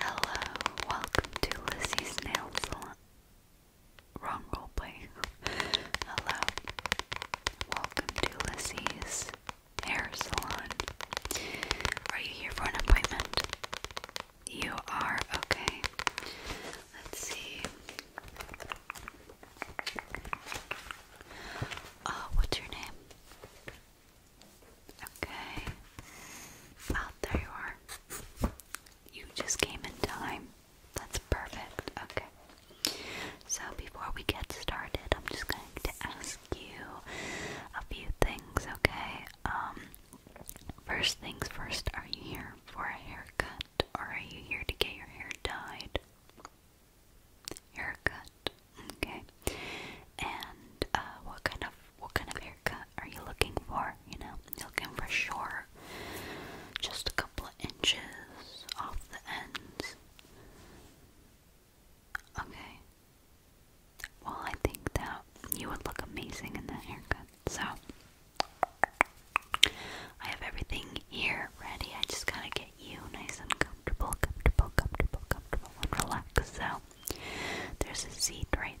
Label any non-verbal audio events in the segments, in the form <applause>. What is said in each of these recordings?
Hello, welcome to Lizzie's Nail Salon. Wrong roleplay. Hello, welcome to Lizzie's Hair Salon. Are you here for an appointment? You are? Okay. Let's see. Uh, what's your name? Okay. Well, there you are. You just came in time. That's perfect. Okay. So, before we get started, I'm just going to ask you a few things, okay? Um, first things first, are you here for a haircut or are you here to get your hair dyed? Haircut. Okay. And uh, what kind of what kind of haircut are you looking for? You know, you're looking for short, just a couple of inches off the ends. Okay. Well, I think that you would look amazing in that haircut. So, I have everything here ready. I just gotta get you nice and comfortable, comfortable, comfortable, comfortable, and relaxed. So, there's a seat right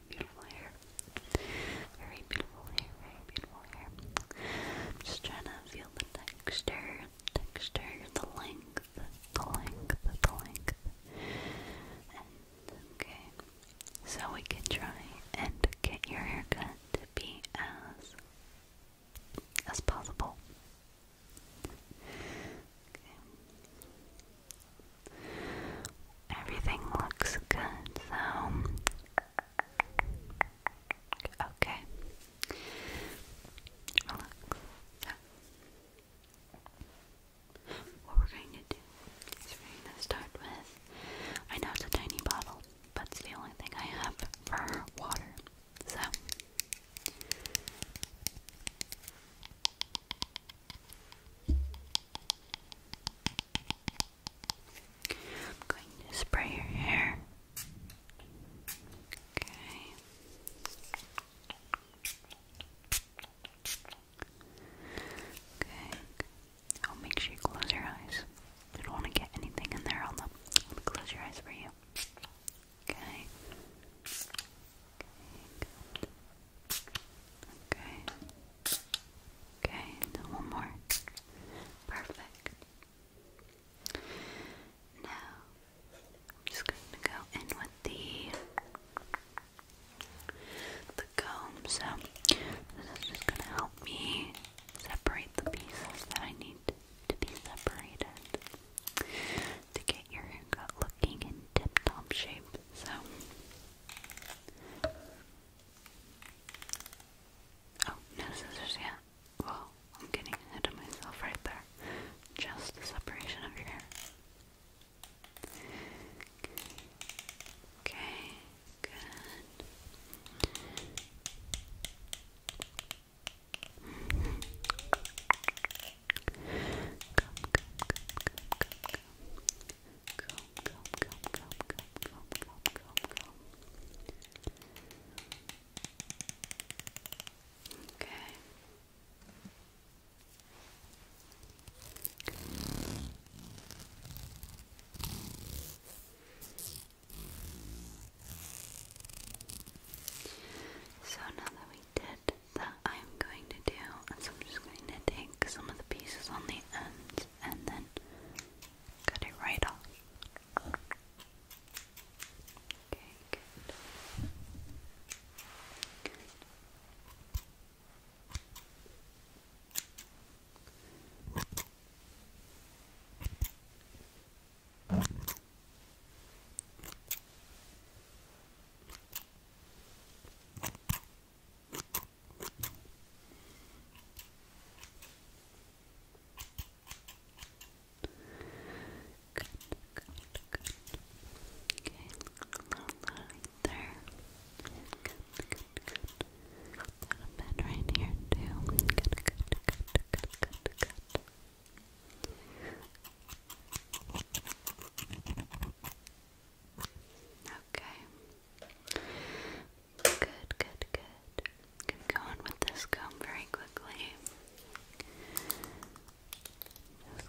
beautiful hair. Very beautiful hair, very beautiful hair. just trying to feel the texture, texture, the length, the length, the length. okay. So we can try and get your haircut to be as as possible. Everything looks good, so okay. Relax. what we're going to do is we're going to start with. I know it's a tiny bottle, but it's the only thing I have for water. So. I'm going to spray your hair. Okay. Okay. Oh, make sure you close your eyes. You don't want to get anything in there on them. Close your eyes for you. Okay. Okay. Good. Okay. Okay, one more. Perfect. Now, I'm just going to go in with the the comb. So this is just going to help me separate the pieces that I need to be separated to get your haircut looking in tip-top shape. So. Oh, no scissors yet. Well, I'm getting ahead of myself right there. Just the separation of your hair. Okay, good. Mm -hmm. Come, come, come, come, come, come comb, comb, Okay. So now that we did that, I'm going to do, so I'm just going to take some of the pieces on the ends and then Cut it right off. Okay, good. Good. Good, good, good. Okay, little right there. Good, good, good. Got a bit right here too. Good, good, good, good, good, good. Okay. Good, good, good. Get going with this comb very quickly.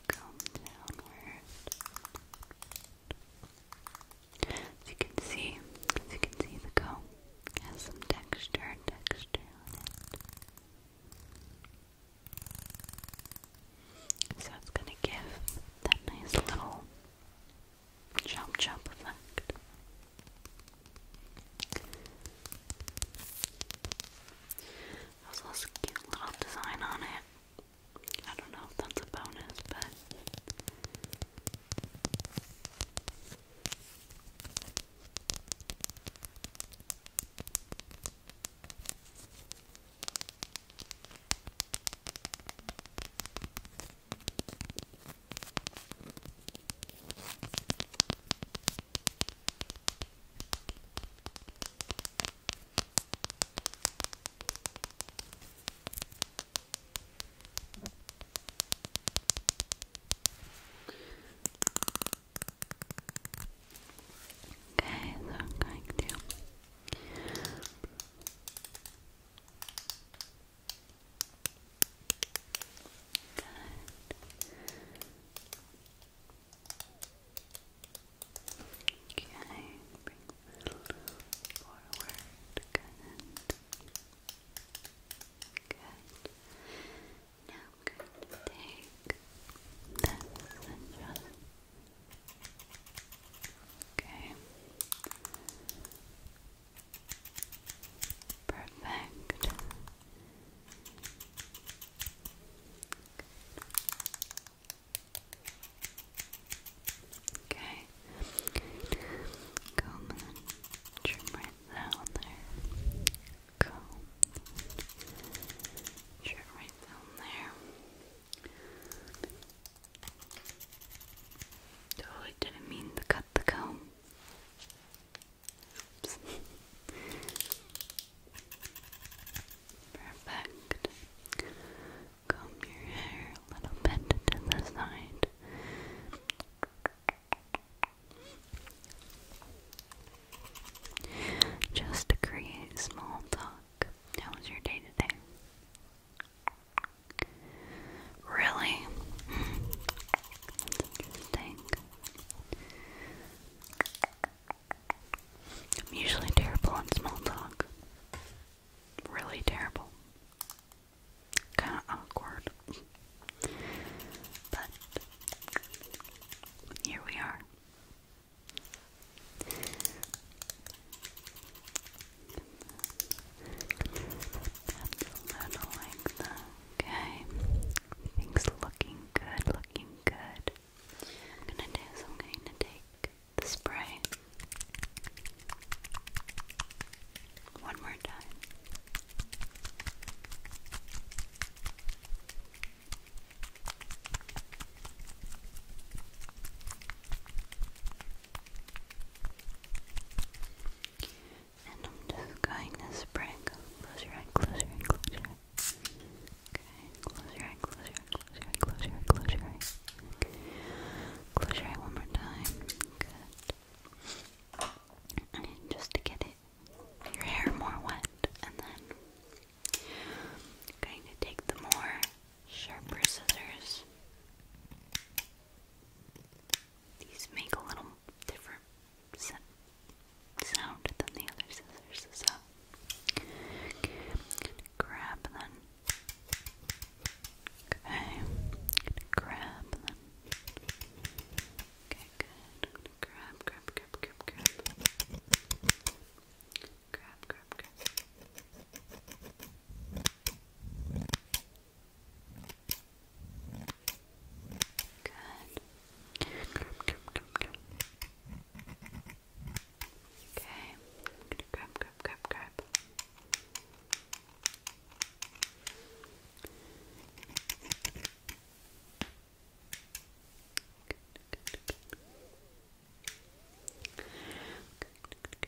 comb downward. you can see, you can see, the comb has some texture, texture So it's gonna give that nice little Chomp chomp effect. There's cute little design on it. I don't know if that's a bonus, but. Okay, so I'm going to Good. Okay, bring a little forward. Good. Good. Now i take this and Okay. Perfect. Okay. Comb and trim right down there. Comb. Trim right down there. Oh, I didn't mean to cut the comb. Perfect. Comb your hair a little bit to the side. Just to create small talk. How was your day today? Really? I'm usually terrible at small talk. Really terrible. Kind of awkward. But here we are. Okay. Everything's looking good, looking good. I'm gonna do is I'm going to take the spray one more time. And I'm just going to spray. Close your eye, close your eye, close your eye. Okay, close your eye, close your eye, close your eye, close your eye, close your eye. Okay. Close your eye one more time. Good. And just to get it, your hair more wet. And then I'm going to take the more sharper scissors. These make a little different sound than the other scissors, so grab them. Okay, grab them. Okay, good. grab, grab, grab, grab, grab. Grab, grab, grab. Good. Okay. I'm gonna grab, grab, grab, grab. Good, good, good. Good, good,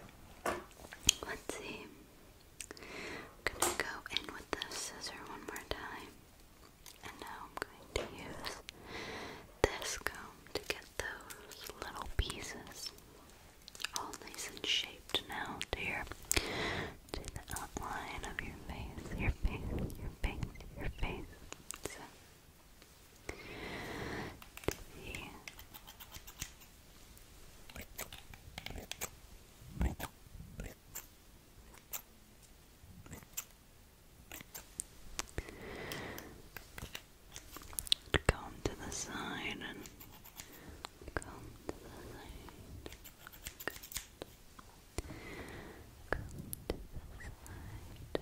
Let's see. I'm gonna go in with the scissor one more time. And now I'm going to use this comb to get those little pieces all nice and shaped now to your to the outline of your face, your face, your face, your face. Come to the side and come to the side. and cut,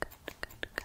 cut, cut,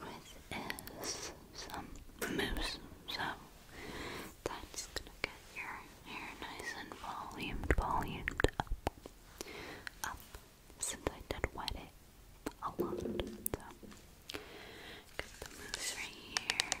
with is some mousse, so that's gonna get your hair nice and volumed, volumed up, up, since I did wet it a lot, so got the mousse right here.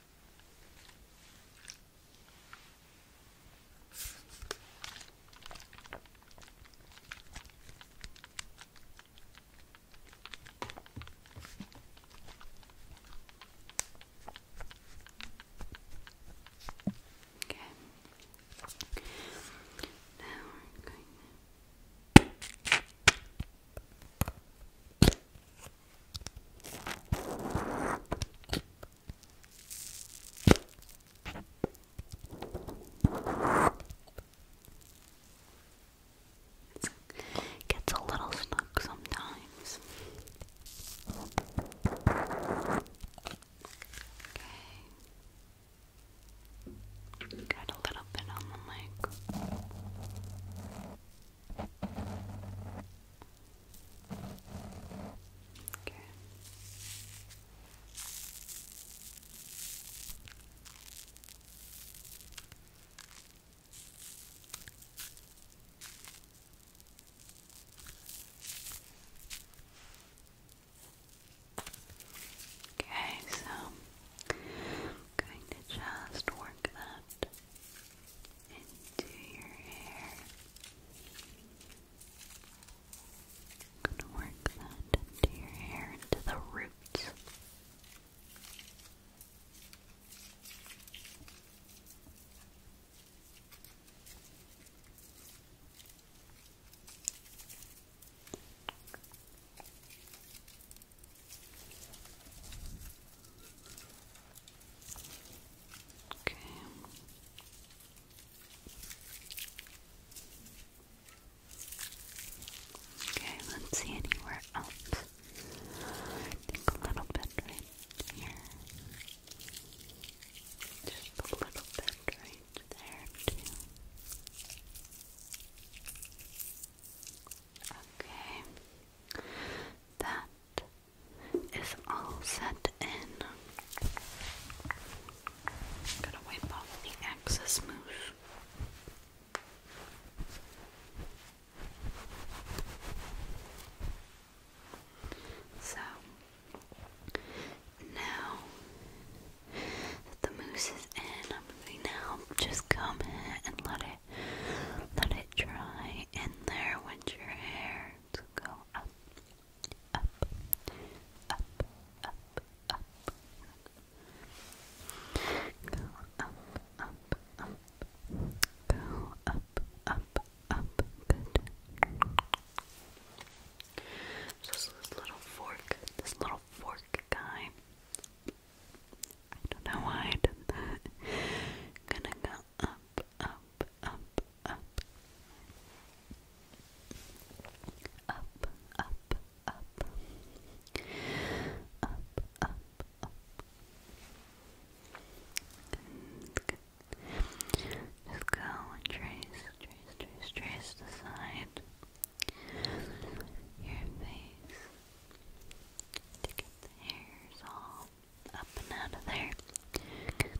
Okay. Now we're going to Gets a little stuck sometimes. Got a little bit on the mic. Okay. Okay, so going to just work that into your hair. gonna work that into your hair, into the roots. Okay. Okay, let's see anywhere else. I think a little bit right here. Just a little bit right there too. Okay. That is all set in. Gotta wipe off the excess mousse. So now that the mousse is in, I'm going to just come and let it let it dry in there with your hair to go up, up, up, up, up. Go up, up, up. Go up, up, up. this little fork, this little fork guy. I don't know why I did <laughs> Gonna go up, up, up, up. Up, up, up. Up, up, up. Good, good. Just go and trace, trace, trace, trace the side. Your face to get the hairs off up and out of there. Good.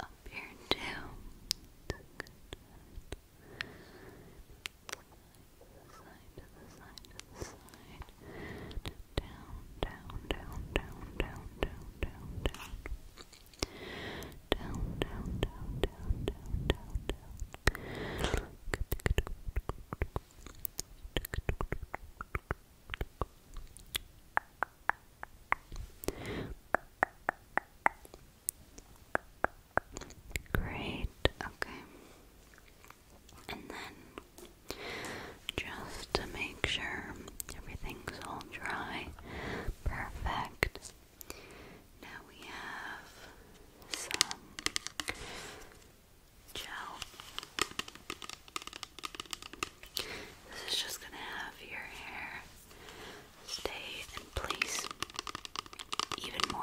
up here too. Side to the side to the side. Down, down, down, down, down, down, down, down down, down, down, down, down, down, down. Great, okay. And then just to make sure everything's all dry, perfect. Now we have some gel. This is just going to have your hair stay in place even more.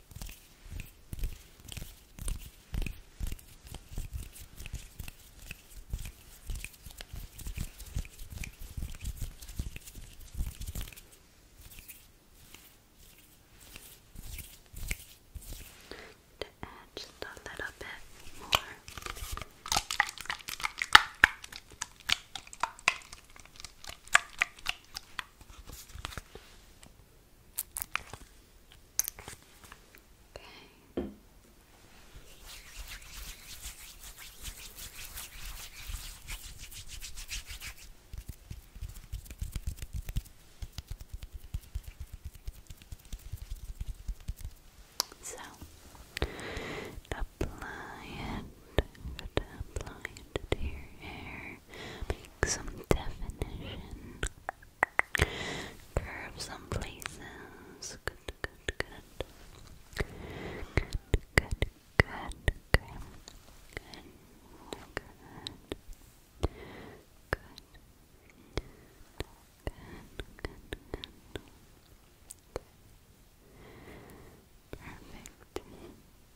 To add just a little bit more. Okay. So apply it, apply it to your hair. Make some definition. Curve some places. Good, good, good. Good. Good. Good. Good, good, good. Perfect. Perfect.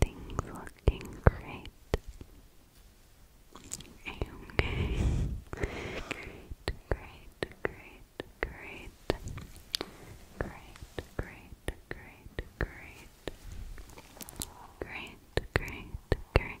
Things looking great. Okay. great, great, great. Great, great, great, great. Great, great, great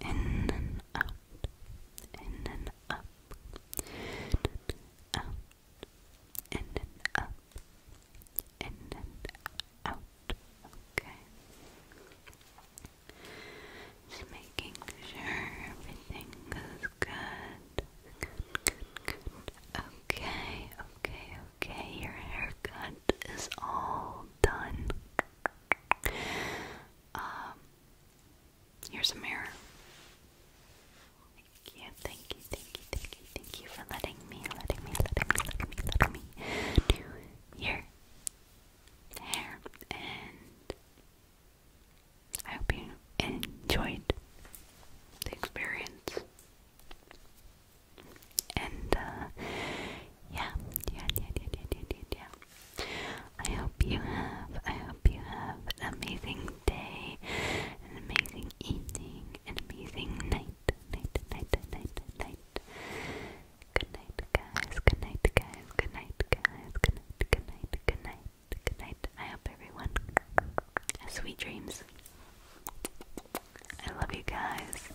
in and out, in and up, in and out, in and up, in and out. Okay. Just making sure everything goes good. Good, good, good. Okay, okay, okay. Your haircut is all done. Um, here's a mirror. Thank thank you, thank you, thank you, thank you for letting me, letting me, letting me, letting me, letting me do hair. And I hope you enjoyed the experience. And uh, yeah, yeah, yeah, yeah, yeah, yeah, yeah. I hope you have, I hope you have an amazing day, an amazing evening, an amazing night, night, night, night, night. Good night, guys. Good night, guys. Good night, guys. Good night, good night, good night, good night. I hope everyone has sweet dreams. I love you guys.